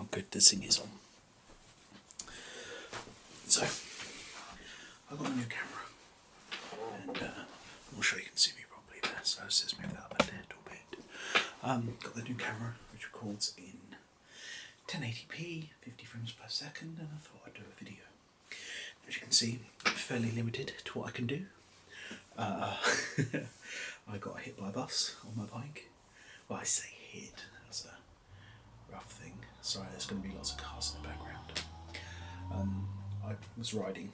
Oh, good, this thing is on. So, I got a new camera, and uh, I'm you can see me properly there, so let's just up a little bit. Um, got the new camera, which records in 1080p, 50 frames per second, and I thought I'd do a video. As you can see, fairly limited to what I can do. Uh, I got hit by a bus on my bike. Well, I say hit, that's a rough thing. Sorry, there's going to be lots of cars in the background. Um, I was riding,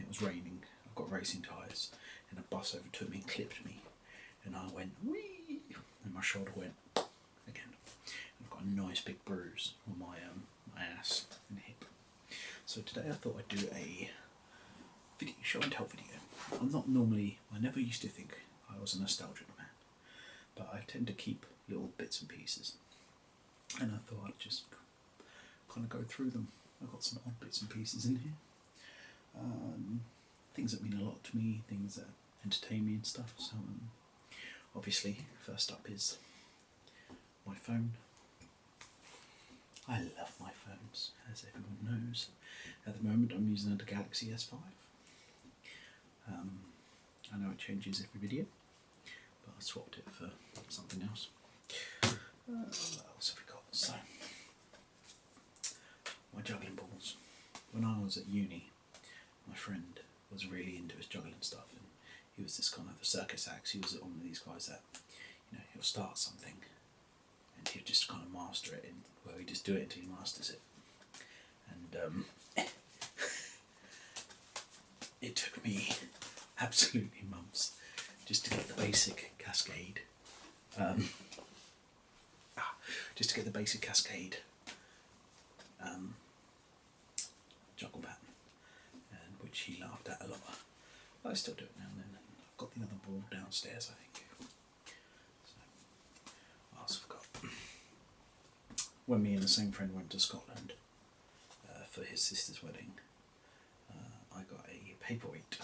it was raining, I've got racing tyres, and a bus overtook me and clipped me. And I went, wee, and my shoulder went again. I've got a nice big bruise on my, um, my ass and hip. So today I thought I'd do a video, show and tell video. I'm not normally, I never used to think I was a nostalgic man, but I tend to keep little bits and pieces. And I thought I'd just kind of go through them. I've got some odd bits and pieces in here. Um, things that mean a lot to me, things that entertain me and stuff. So um, obviously, first up is my phone. I love my phones, as everyone knows. At the moment, I'm using a Galaxy S5. Um, I know it changes every video, but I swapped it for something else. Uh, what else have we got? So, my juggling balls. When I was at uni, my friend was really into his juggling stuff, and he was this kind of a circus act. He was one of these guys that, you know, he'll start something, and he'll just kind of master it, and well, he just do it until he masters it. And um, it took me absolutely months just to get the basic cascade. Um, just to get the basic cascade um, juggle pattern, and which he laughed at a lot. I still do it now and then. I've got the other ball downstairs, I think. I also forgot. When me and the same friend went to Scotland uh, for his sister's wedding, uh, I got a paperweight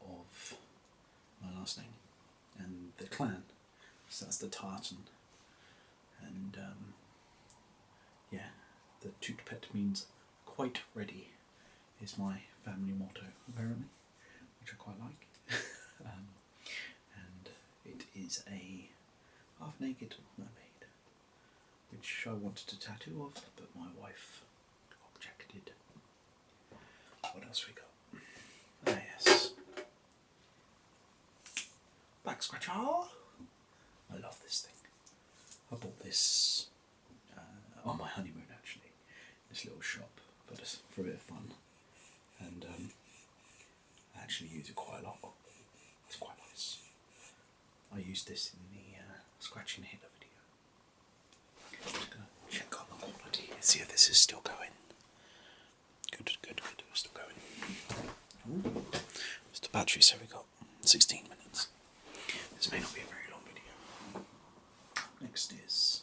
of my last name and the clan so that's the tartan. And um, yeah, the tutpet means quite ready, is my family motto apparently, which I quite like. Um, and it is a half naked mermaid, which I wanted to tattoo of, but my wife objected. What else we got? Ah, yes, Back Scratcher. Ah, I love this thing. I bought this uh, on my honeymoon actually. This little shop, but for a bit of fun, and um, I actually use it quite a lot. It's quite nice. I used this in the uh, scratch and hit video. i just gonna check on the quality see if this is still going. Good, good, good. still going. Ooh. It's the battery, so we got 16 minutes. This may not be a very long video. Next is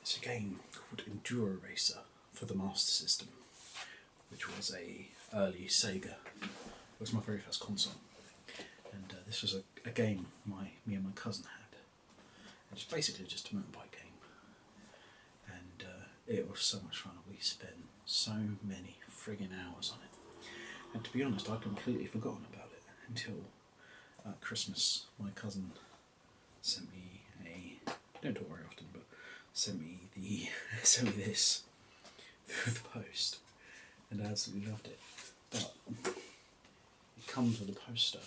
it's a game called Enduro Racer for the Master System, which was a early Sega. It was my very first console, and uh, this was a, a game my me and my cousin had it's basically just a mountain bike game. And uh, it was so much fun. We spent so many frigging hours on it. And to be honest, I'd completely forgotten about it until uh, Christmas. My cousin sent me a, don't talk very often, but sent me the, sent me this through the post. And I absolutely loved it. But it comes with a poster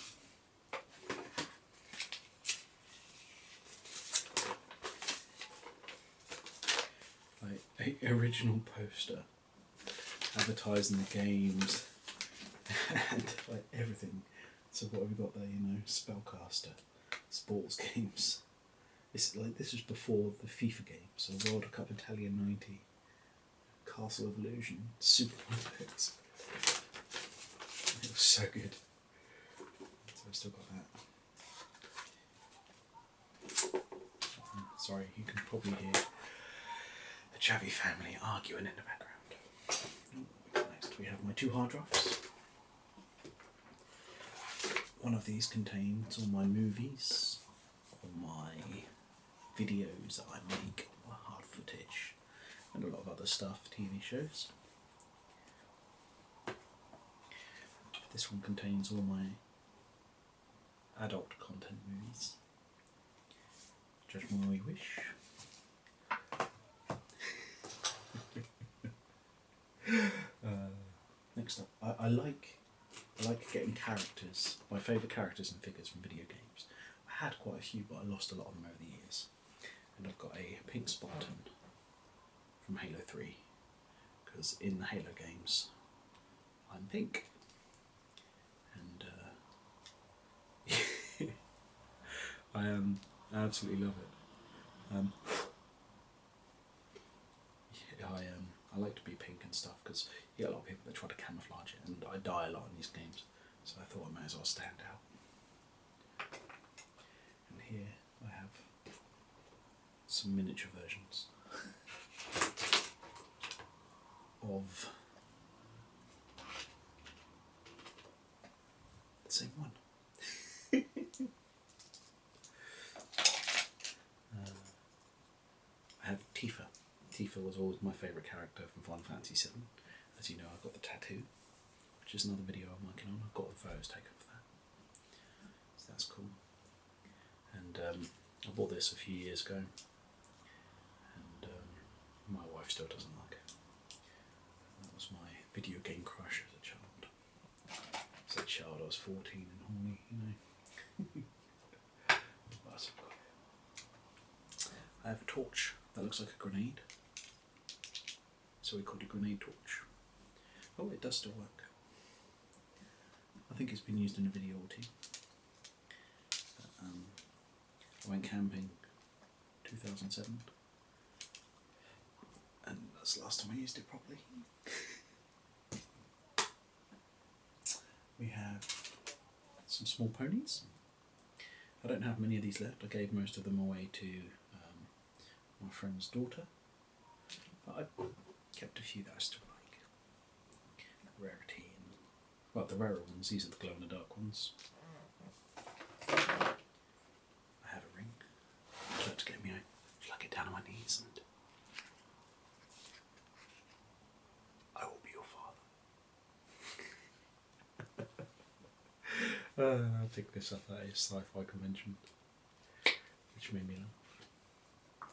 like original poster advertising the games and like everything. So what have we got there, you know, Spellcaster, sports games. This like this was before the FIFA game, so World Cup Italia ninety, Castle of Illusion, Super Mario. It was so good. So I've still got that. Sorry, you can probably hear the Chavvy family arguing in the background. Next we have my two hard drives. One of these contains all my movies, all my videos that I make, all hard footage, and a lot of other stuff, TV shows. This one contains all my adult content movies. Just more we wish. Uh, next up, I, I like I like getting characters, my favourite characters and figures from video games. I had quite a few, but I lost a lot of them over the years and I've got a pink Spartan from Halo 3 because in the Halo games I'm pink and uh, I um, absolutely love it. Um, I um, I like to be pink and stuff because you get a lot of people that try to camouflage it and I die a lot in these games so I thought I may as well stand out. And here I have some miniature versions of the same one. Uh, I have Tifa. Tifa was always my favourite character from Final Fantasy VII. As you know, I have got the tattoo, which is another video I'm working on. I've got the photos taken for that, so that's cool. And um, I bought this a few years ago, and um, my wife still doesn't like it. That was my video game crush as a child. As a child, I was 14 and horny, you know. but i I have a torch that looks like a grenade, so we call it a grenade torch. Oh, it does still work. I think it's been used in a video or two. Um, I went camping 2007, and that's the last time I used it properly. we have some small ponies. I don't have many of these left. I gave most of them away to um, my friend's daughter. I kept a few that I still like. Rarity well, the rarer ones. These are the glow in the dark ones. I have a ring. I'd get me, I it down on my knees and I will be your father uh, I'll take this up at a sci-fi convention, which made me laugh.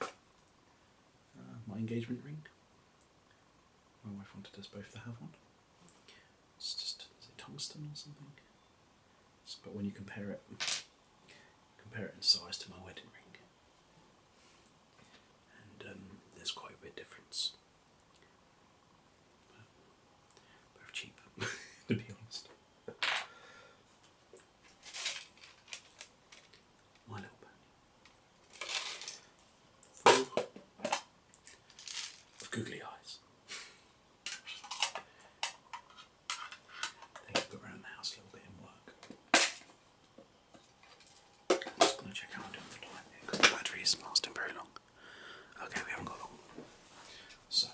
Uh, my engagement ring. My wife wanted us both to have one. It's just is it tungsten or something? but when you compare it, compare it in size to my wedding ring, and um, there's quite a bit of difference. both cheap, to be honest. My little pony. Full of googly eyes. They can go around the house a little bit and work. I'm just gonna check how I'm for because the battery is lasting very long. Okay, we haven't got long. So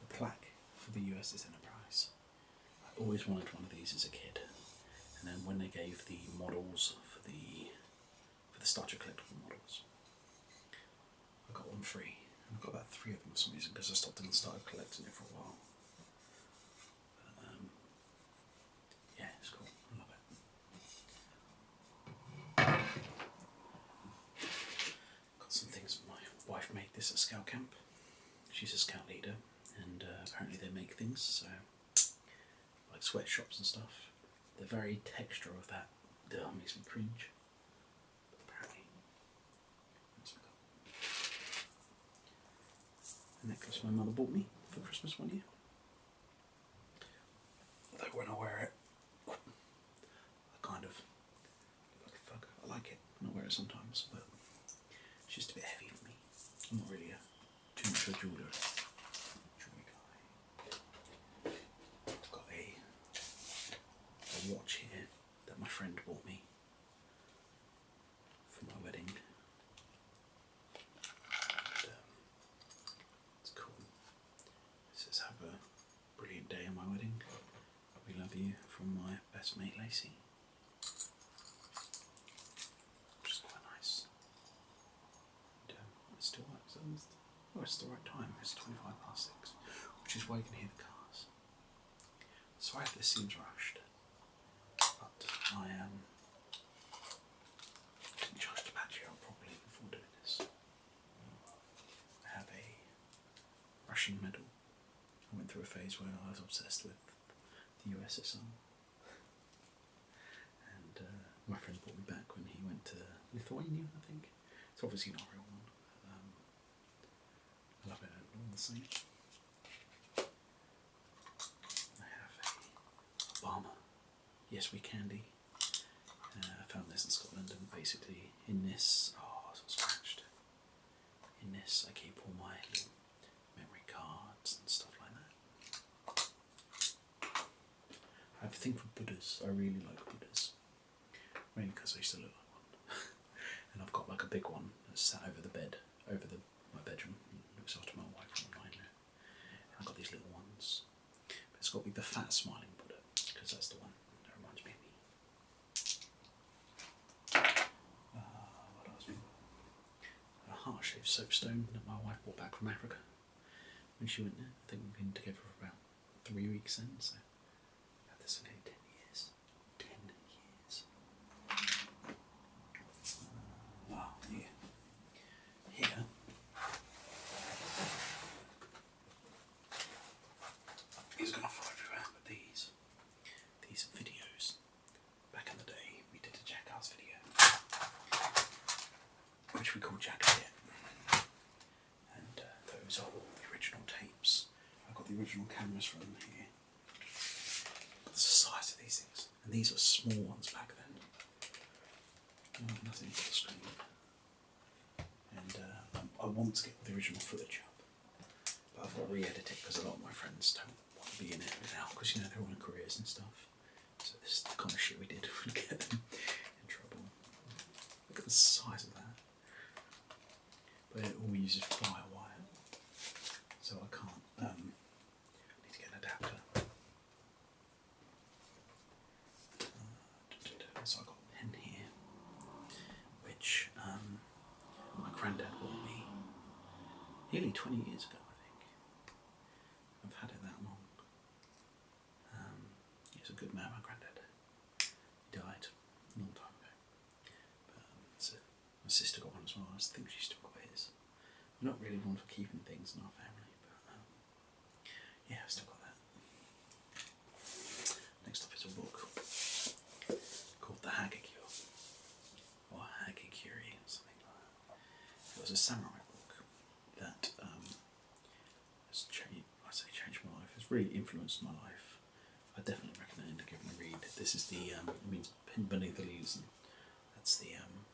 the plaque for the USS Enterprise. I always wanted one of these as a kid, and then when they gave the models for the for the Star Trek collectible models, I got one free I've got about three of them for some reason because I stopped and started collecting it for a while. Um, yeah, it's cool. I love it. Got some things. My wife made this at scout camp. She's a scout leader, and uh, apparently they make things so like sweatshops and stuff. The very texture of that uh, makes me cringe apparently. A necklace my mother bought me for Christmas one year. Although when I wear it, I kind of like fuck. I like it when I wear it sometimes, but it's just a bit heavy for me. I'm not really a too much of a jeweler. I've got a, a watch here that my friend bought me for my wedding. And, um, it's cool. says, Have a brilliant day on my wedding. We love you from my best mate Lacey. Which is quite nice. Um, it still works. Oh, it's the right time. It's 25 past 6, which is why you can hear the cars. Sorry this seems rushed, but I Um, didn't charge the battery properly before doing this. I have a Russian medal. I went through a phase where I was obsessed with the USSR. And uh, my friend brought me back when he went to Lithuania, I think. It's obviously not a real one. Um, love it the seat. I have a Obama Yes We Candy. Uh, I found this in Scotland and basically in this, oh it's scratched. In this I keep all my memory cards and stuff like that. I have a thing for Buddhas, I really like Buddhas. Mainly because I used to look like one. and I've got like a big one that's sat over the bed, over the my bedroom, looks after my wife and I've got these little ones. But it's got to the fat smiling Buddha, because that's the one that reminds me of me. Uh, what A heart-shaped soapstone that my wife brought back from Africa when she went there. I think we've been together for about three weeks in, so I've had this for nearly 10 years. 10 years. Wow, here. Here. going to fall everywhere, but these, these videos. Back in the day, we did a Jackass video, which we call Jack and uh, those are all the original tapes. I've got the original cameras from here. The size of these things, and these are small ones back then. nothing for the screen. And uh, I, want to get the original footage up, but I've got to re-edit it because a lot of my friends don't want to be in it now because you know they're on careers and stuff. So this is the kind of shit we did would get them in trouble. Look at the size of that but it all uses firewire, so I can't. Um, need to get an adapter. Uh, so I got a pen here, which um, my granddad bought me nearly twenty years ago, I think. I've had it that long. Um, he's a good man, my granddad. He died a long time ago. Um, my sister got one as well. I think she still got his. I'm not really one for keeping things in our family, but um, yeah, I've still got that. Next up is a book called The Hagakure or Hagakure, something like that. It was a samurai book that um, has changed. I say changed my life. It's really influenced my life. I definitely recommend giving a read. This is the um, it means beneath the leaves, that's the um,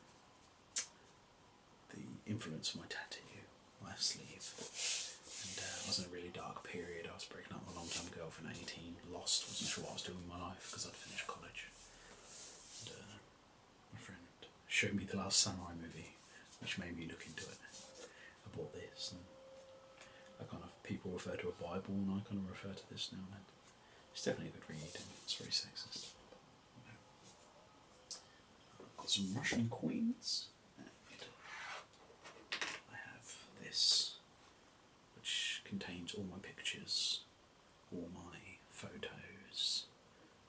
the influence of my tattoo, my sleeve. And uh, I was in a really dark period. I was breaking up with a long term girlfriend, at eighteen, lost, wasn't sure what I was doing with my life because I'd finished college. Uh, my friend showed me the Last Samurai movie which made me look into it. I bought this, and I kind of people refer to a Bible, and I kind of refer to this now and then. It's definitely a good read, and it's very sexist. got some Russian coins, I have this, which contains all my pictures, all my photos,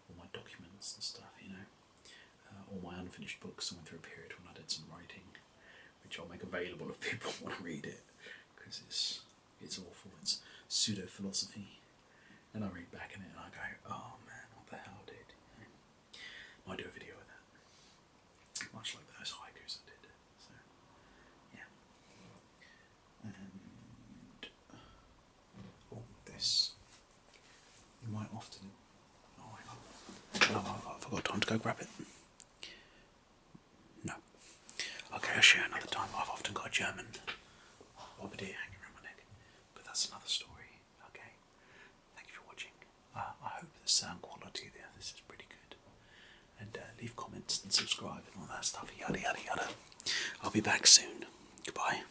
all my documents and stuff, you know. Uh, all my unfinished books. I went through a period when I did some writing, which I'll make available if people want to read it, because it's it's awful. It's pseudo philosophy, and I read back in it and I go, oh man, what the hell, did? I do a video of that, much like those hikers I did. So yeah, and oh, this I've often. Oh, oh time to go grab it. No. Okay, I'll share another time. I've often got a German bombardier hanging around my neck, but that's another story. Okay. Thank you for watching. Uh, I hope the sound quality there, this is pretty good. And uh, leave comments and subscribe and all that stuff. Yada yada yada. I'll be back soon. Goodbye.